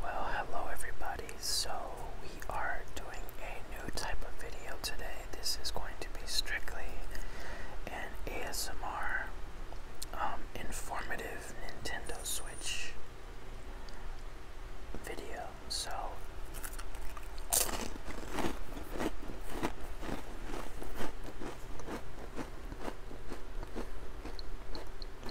Well, hello everybody. So, we are doing a new type of video today. This is going to be strictly an ASMR um, informative Nintendo Switch video. So,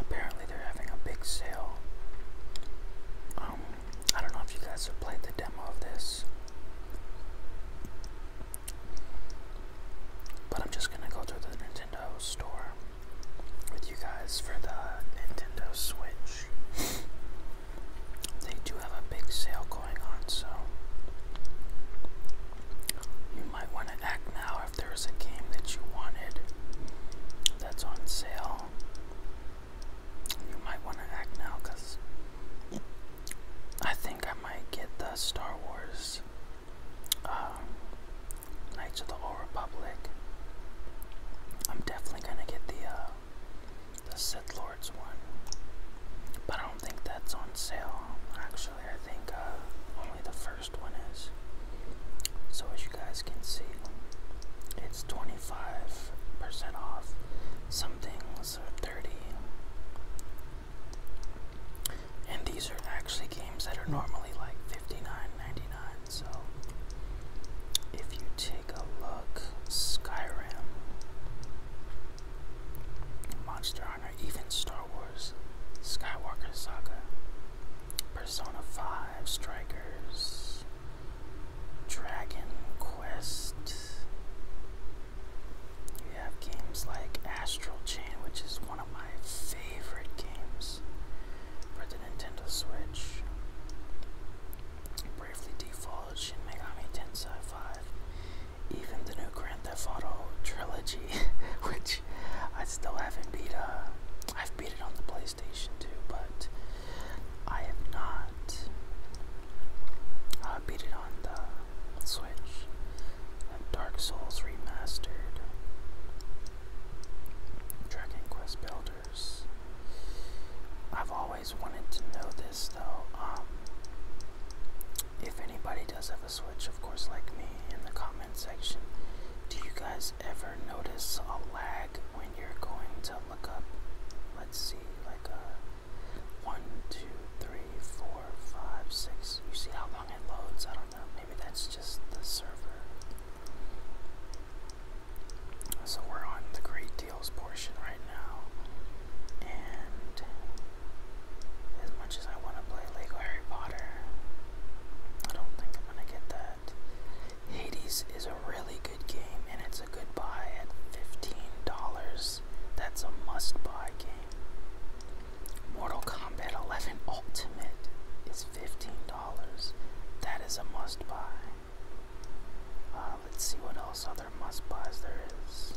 Apparently, they're having a big sale. Um, I don't know if you guys have played the demo of this, but I'm just gonna go through the Nintendo store with you guys for the Nintendo Switch. they do have a big sale going on, so you might want to act now or if there was a game that you wanted that's on sale, you might want to act now because I think I might get the Star Wars um, Knights of the Old Republic. I'm definitely gonna get the uh, the Sith Lords one, but I don't think that's on sale. Actually, I think uh, only the first first one is. So as you guys can see, it's 25% off. Some things are 30. And these are actually games that are normally like 59 99 So if you take a look, Skyrim, Monster Hunter, even Star Wars, Skywalker Saga, Persona 5 Strikers, Dragon Quest. You have games like Astral Chain, which is one of my favorite games for the Nintendo Switch. Bravely Default, Shin Megami Tensei 5, even the new Grand Theft Auto trilogy, which I still haven't beat. Uh, I've beat it on the PlayStation 2, but I have not uh, beat it on the Switch. Dark Souls Remastered, Dragon Quest Builders. I've always wanted to know this though. Um, if anybody does of switch, of course, like me, in the comment section. Do you guys ever notice a lag when you're going to look up? Let's see, like a uh, one, two, three, four, five, six. You see how long it loads? I don't know. Maybe that's just the server. So we're on the great deals portion right now, and as much as I want to play Lego Harry Potter, I don't think I'm gonna get that. Hades is a really good game and it's a good buy at $15. That's a must buy game. Mortal Kombat 11 Ultimate is $15. That is a must buy. Uh, let's see what else other must buys there is.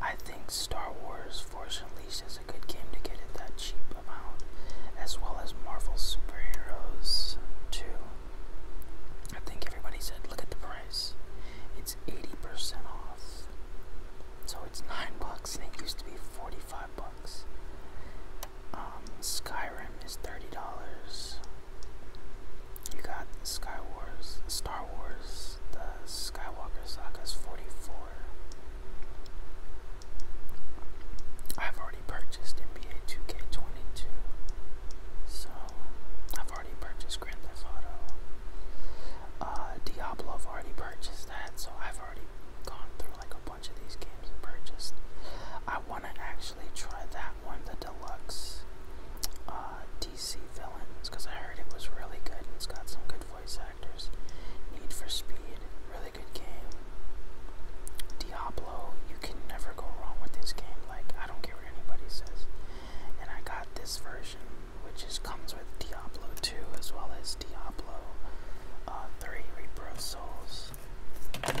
I think Star Wars Force Unleashed is a good game to get at that cheap amount, as well as Marvel Superheroes too. I think everybody said, look at the price. It's 80% off. So it's 9 bucks and it used to be 45 bucks. Um, Skyrim is $30. You got Sky Wars, Star Wars, the Skywalker Saga is 44 I've already purchased NBA 2K22, so I've already purchased Grand Theft Auto. Uh, Diablo, I've already purchased that, so I've already gone through like a bunch of these games and purchased. I want to actually try that one, the deluxe uh, DC Villains, because I heard it was really good and it's got some good voice Need for Speed, really good game. Diablo, you can never go wrong with this game. Like I don't care what anybody says. And I got this version, which just comes with Diablo 2 as well as Diablo uh, 3 Reaper of Souls. Um,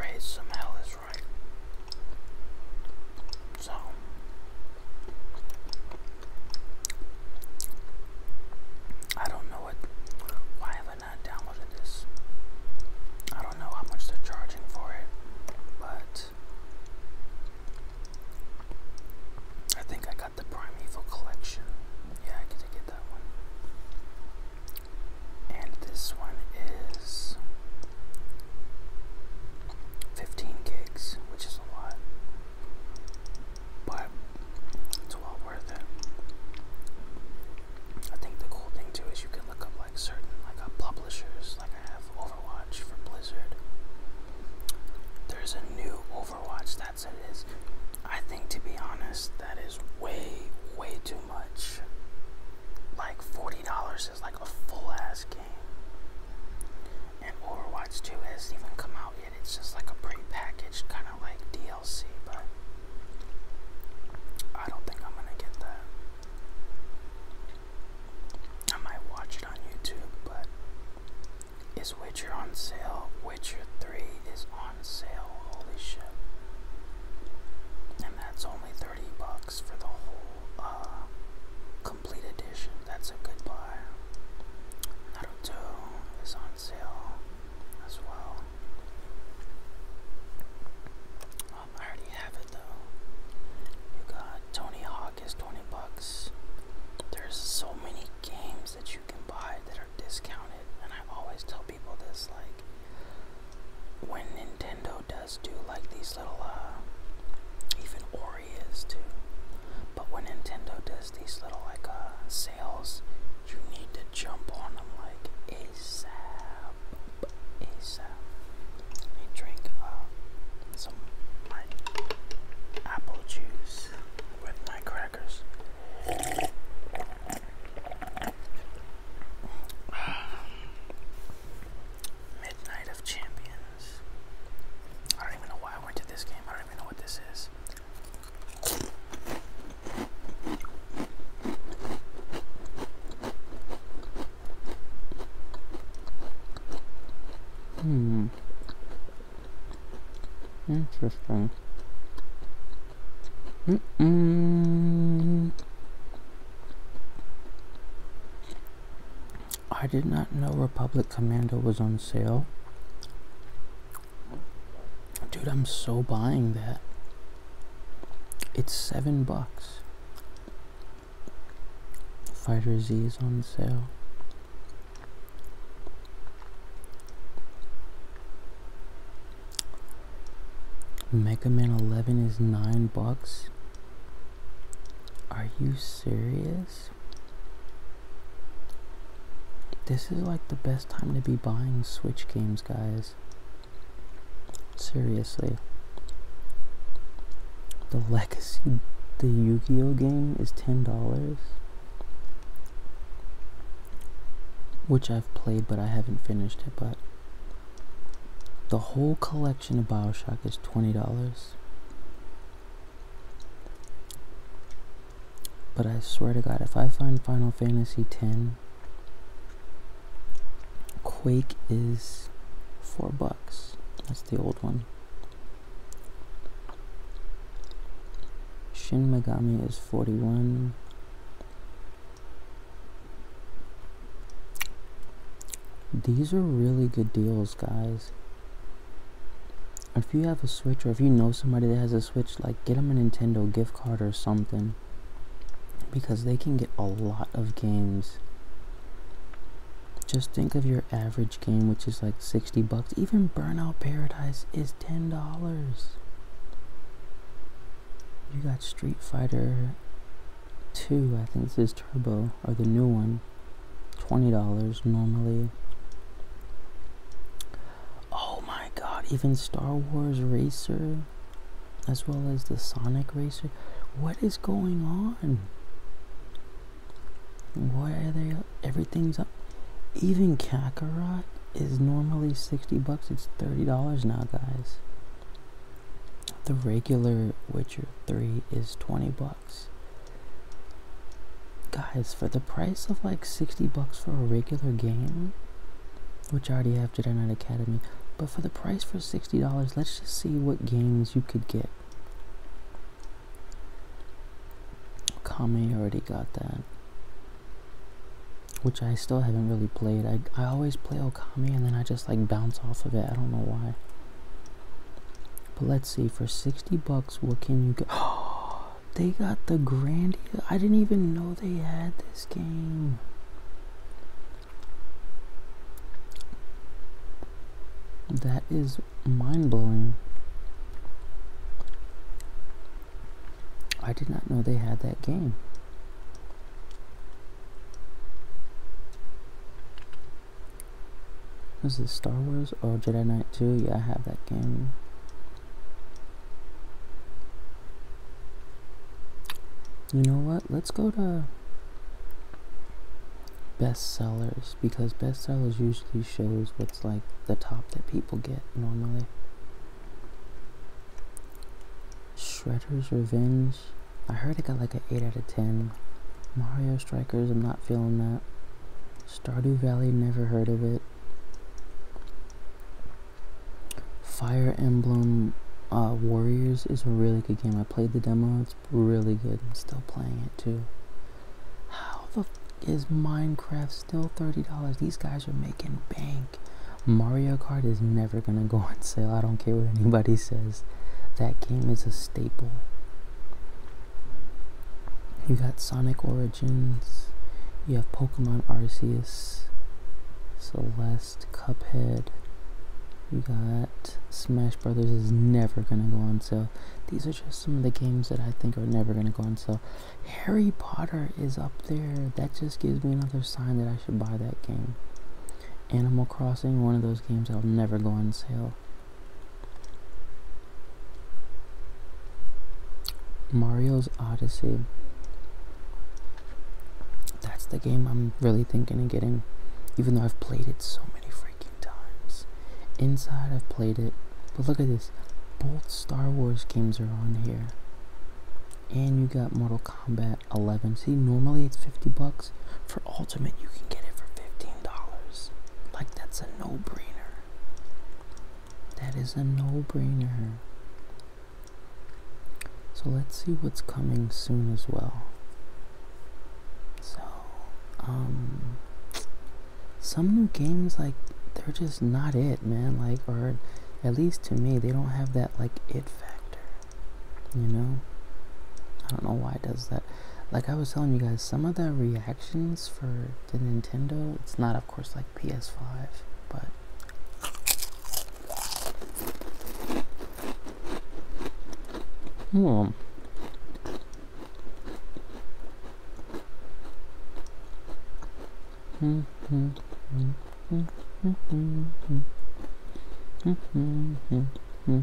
Raise some hell is right. So I don't know why have I not downloaded this? I don't know how much they're charging for it, but I think I got the Primeval Collection. Yeah, I get to get that one. And this one is 15 gigs, which is a lot but it's well worth it. I think the cool thing too is you can look up like certain like uh, publishers. Like I have Overwatch for Blizzard. There's a new Overwatch. That's it is. I think to be honest, that is way way too much. Like forty dollars is like a full ass game. And Overwatch 2 hasn't even come out yet. It's just like a pre-packaged kind of like deal. DLC, but I don't think I'm gonna get that. I might watch it on YouTube, but is Witcher on sale? Witcher 3 is on sale, holy shit. And that's only 30 bucks for the whole uh, complete edition. That's a good buy. Naruto is on sale as well. Um, I already have it though. You got Tony Hawk is 20 bucks. There's so many games that you can buy that are discounted, and I always tell people this like when Nintendo does do like these little uh even Ori too. But when Nintendo does these little like uh You need to jump on them like ASAP. ASAP. Let me drink uh, some apple juice with my crackers. Midnight of Champions. I don't even know why I went to this game. I don't even know what this is. Hmm. Interesting. Mm I did not know Republic Commando was on sale. Dude, I'm so buying that. It's seven bucks. Fighter Z is on sale. Mega Man 11 is 9 bucks. Are you serious? this. is like the best time to be buying Switch games, guys. Seriously. The Legacy, the Yu Gi Oh game is $10. Which I've played, but I haven't finished it. But the whole collection of Bioshock is $20. But I swear to God, if I find Final Fantasy X, Quake is four bucks. That's the old one. Shin Megami is 41. These are really good deals, guys if you have a Switch or if you know somebody that has a Switch, like get them a Nintendo gift card or something because they can get a lot of games. Just think of your average game, which is like 60 bucks. Even Burnout Paradise is $10. You got Street Fighter 2, I think this is Turbo, or the new one. $20 normally. Oh my god, even Star Wars Racer as well as the Sonic Racer. What is going on? Why are they up? everything's up? Even Kakarot is normally 60 bucks. It's $30 now, guys. The regular Witcher 3 is 20 bucks. Guys, for the price of like 60 bucks for a regular game, which I already have Jedi Knight Academy, but for the price for $60, let's just see what games you could get. Kami already got that. Which I still haven't really played. I, I always play Okami and then I just like bounce off of it. I don't know why. But let's see, for 60 bucks, what can you get? Oh, they got the Grandia. I didn't even know they had this game. That is mind blowing. I did not know they had that game. What's this, Star Wars? Oh, Jedi Knight 2? Yeah, I have that game. You know what? Let's go to bestsellers because bestsellers usually shows what's like the top that people get normally. Shredder's Revenge. I heard it got like an 8 out of 10. Mario Strikers, I'm not feeling that. Stardew Valley, never heard of it. Fire Emblem uh, Warriors is a really good game. I played the demo, it's really good. I'm still playing it too. How the is Minecraft still $30? These guys are making bank. Mario Kart is never gonna go on sale. I don't care what anybody says. That game is a staple. You got Sonic Origins, you have Pokemon Arceus, Celeste, Cuphead, you got Smash Brothers is never gonna go on sale. These are just some of the games that I think are never gonna go on sale. Harry Potter is up there. That just gives me another sign that I should buy that game. Animal Crossing, one of those games that'll never go on sale. Mario's Odyssey. That's the game I'm really thinking of getting, even though I've played it so many freaking times. Inside, I've played it, but look at this. Both Star Wars games are on here. And you got Mortal Kombat 11. See, normally it's 50 bucks. For Ultimate, you can get it for $15. Like, that's a no-brainer. That is a no-brainer. So let's see what's coming soon as well. So, um, some new games like they're just not it, man. Like, or at least to me, they don't have that like it factor. You know, I don't know why it does that like I was telling you guys, some of the reactions for the Nintendo, it's not, of course, like PS5, but hmm. Mm -hmm. Mm -hmm. Mm -hmm. -hmm. -hmm but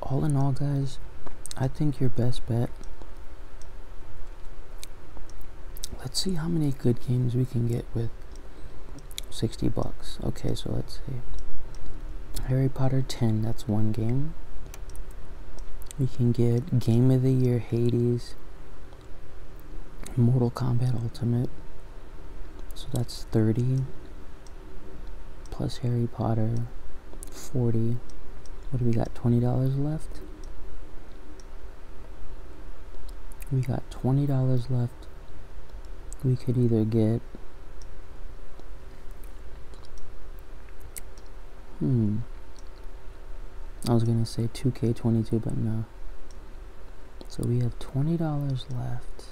all in all guys I think your best bet let's see how many good games we can get with 60 bucks okay so let's see Harry Potter 10 that's one game we can get Game of the Year Hades, Mortal Kombat Ultimate. So that's 30 plus Harry Potter, 40. What do we got? $20 left? We got $20 left. We could either get Hmm. I was gonna say 2K22, but no. So we have $20 left.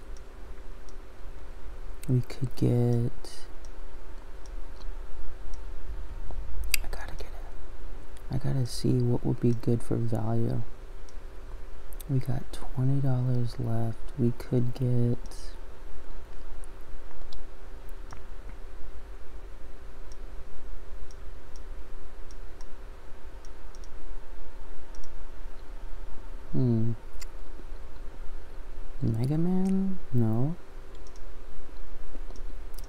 We could get. I gotta get it. I gotta see what would be good for value. We got $20 left. We could get. Hmm. Mega Man? No.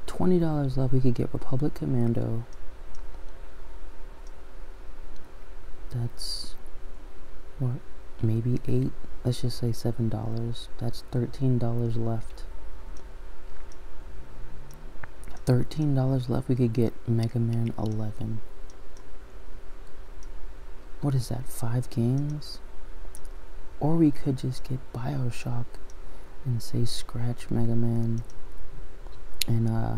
$20 left, we could get Republic Commando. That's, what, maybe 8 Let's just say $7 that's thirteen dollars left thirteen dollars left we could get Mega Man 11 what is that five games or we could just get Bioshock and say scratch Mega Man and uh,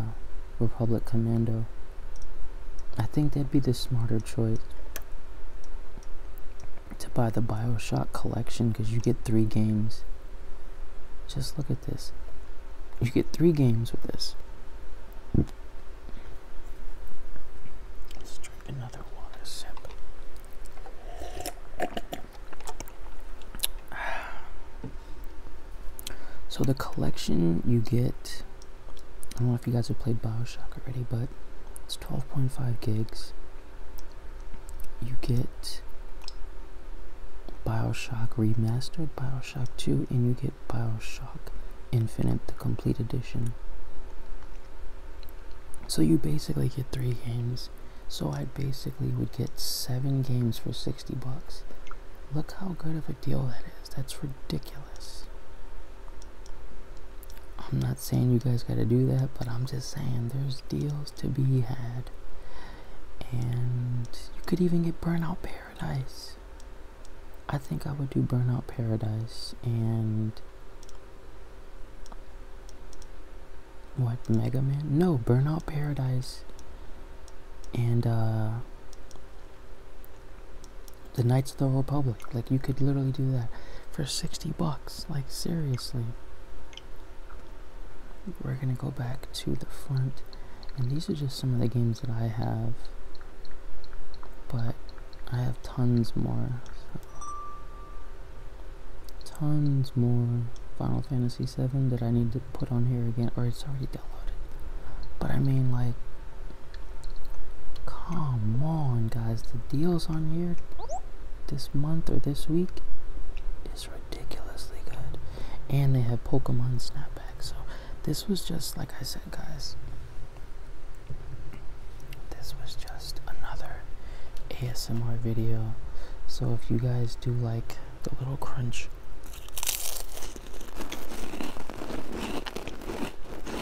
Republic Commando I think that'd be the smarter choice to buy the Bioshock collection because you get three games. Just look at this. You get three games with this. Let's drink another water sip. So the collection you get, I don't know if you guys have played Bioshock already, but 12.5 gigs. You get Bioshock Remastered, Bioshock 2, and you get Bioshock Infinite, the complete edition. So you basically get three games. So I basically would get seven games for 60 bucks. Look how good of a deal that is. That's ridiculous. I'm not saying you guys got to do that, but I'm just saying there's deals to be had. And you could even get Burnout Paradise. I think I would do Burnout Paradise and. What, Mega Man? No, Burnout Paradise and uh, the Night the whole public. Like you could literally do that for 60 bucks. Like seriously. We're gonna go back to the front. And these are just some of the games that I have. But I have tons more. Tons more Final Fantasy 7 that I need to put on here again, or it's already downloaded. But I mean, like, Come on, guys. The deals on here this month or this week is ridiculously good. And they have Pokemon Snapback. So this was just, like I said, guys, this was just another ASMR video. So if you guys do like the little crunch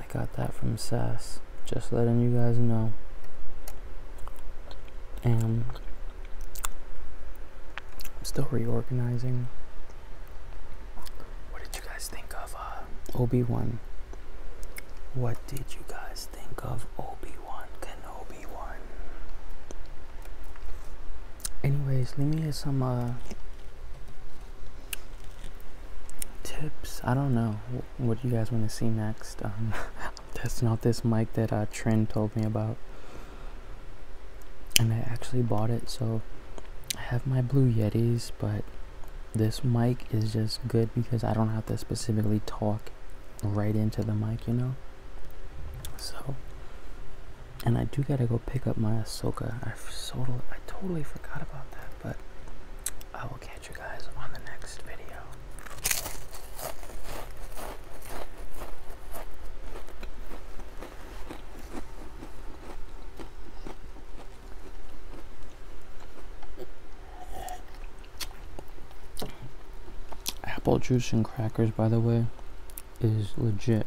I got that from SAS. Just letting you guys know. And I'm still reorganizing. What did you guys think of uh, Obi Wan? What did you guys think of Obi Wan Kenobi One? Anyways, let me hear some uh, tips. I don't know what do you guys want to see next. That's um, not this mic that uh, told me about. And I actually bought it, so I have my Blue Yetis, but this mic is just good because I don't have to specifically talk right into the mic, you know? So, and I do gotta go pick up my Asoka. I, I totally forgot about that, but I will catch you guys on the next video. Apple juice and crackers, by the way, is legit.